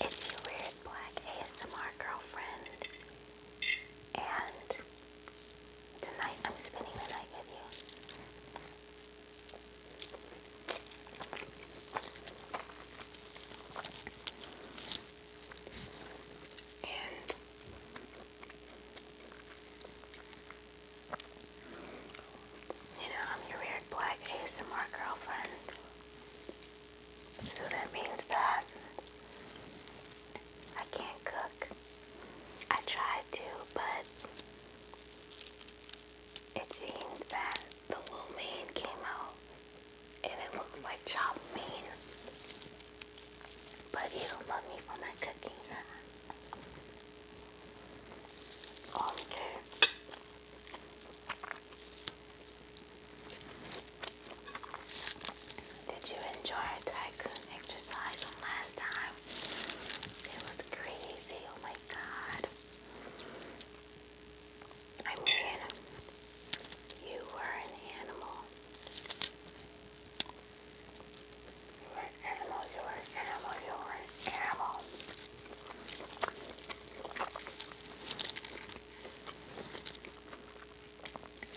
It's your weird black ASMR girlfriend, and tonight I'm spending the night with you. And you know, I'm your weird black ASMR girlfriend. So that means that I can't cook. I tried to, but it seems that the little meat came out and it looks like chopped meat. But you don't love me for my cooking, Okay. Did you enjoy tycoon exercise last time? It was crazy, oh my god. I mean, you were an animal. You're an animal, you're an animal, you're an animal.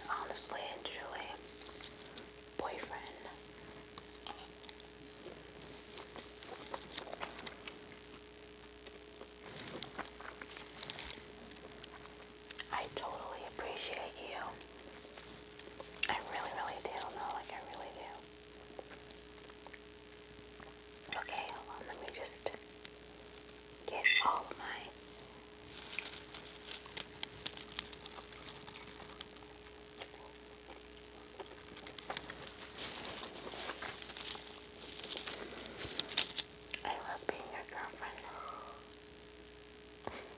Honestly and truly, boyfriend. I totally appreciate you. I really, really do. No, like I really do. Okay, Let me just get all of my. I love being your girlfriend.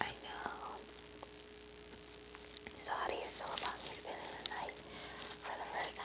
I know. So how do you feel about me spending the night for the first time?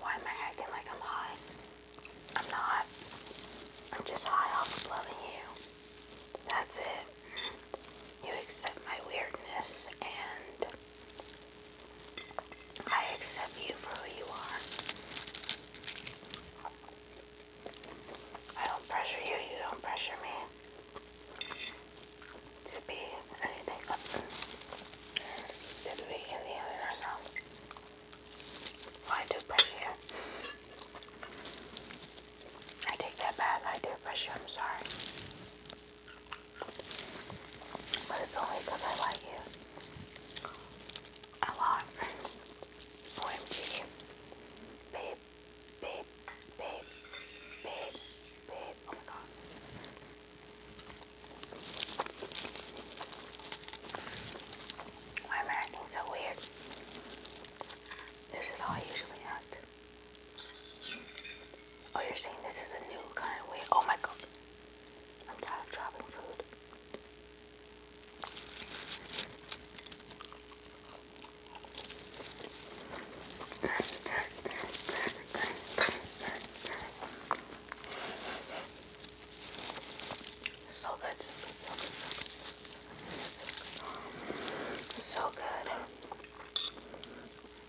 Why am I acting like I'm high? I'm not. I'm just high off loving you. That's it. You accept my weirdness and I accept you for who you are. I don't pressure you, you don't pressure me to be anything other than to be Indian in ourselves. Well, I do pressure you. I take that back. I do pressure. I'm sorry. But it's only because I like you. A lot. OMG. Babe, babe, babe, babe, babe. Oh my god. Why am I acting so weird? This is how I usually act. Oh, you're saying this is a new kind of way? Oh my god. I'm tired of dropping food. so good. So good.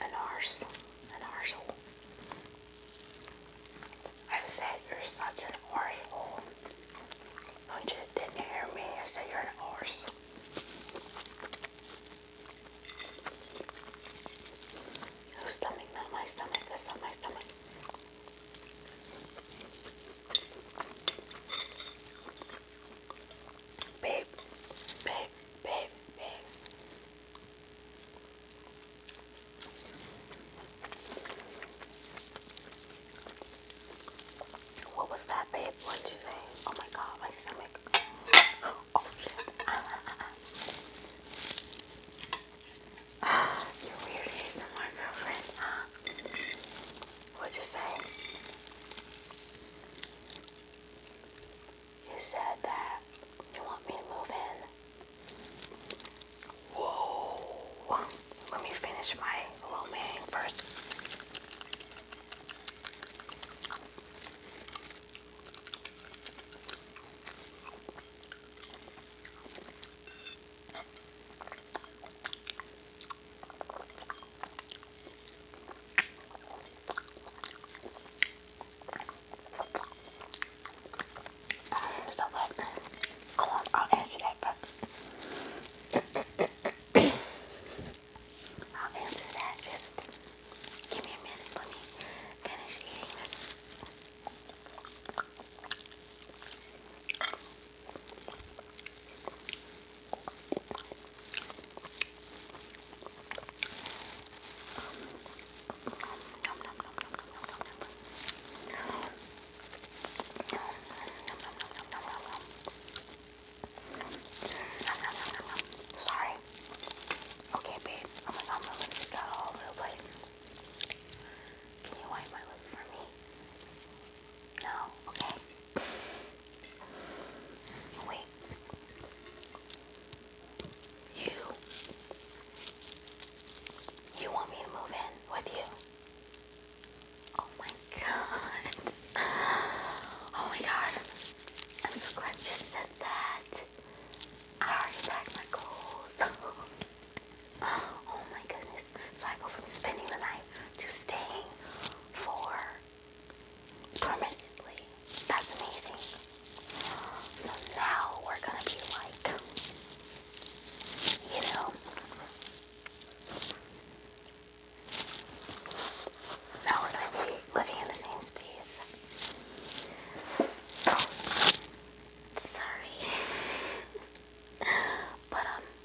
an arse. An arsehole. I said you're such an arsehole. Don't didn't hear me? I said you're an arse. Oh stomach, my stomach, that's not my stomach. Babe, babe, babe, babe, what was that, babe? What did you say? Oh my god, my stomach. Oh shit. you're weird ASMR girlfriend, huh? What'd you say? You said that you want me to move in. Whoa! Let me finish my lo first. So what? Come on, I'll answer that, but I'll answer that. Just give me a minute. Let me finish eating nom, nom, nom, nom, nom, nom, nom. Nom, nom, nom, nom, nom, nom, nom. Nom, nom, nom, nom, nom. Sorry. Okay, babe. Oh my god, my lips got all over the place. Can you wipe my lips for me? No? Okay. Wait. You. You want me to move in with you? Oh my god. Oh my god. I'm so glad you said that. I already packed my clothes. oh my goodness. So I go from spending the night to staying for permanently. That's amazing. So now we're gonna be like, you know, now we're gonna be living in the same space. sorry. but, um,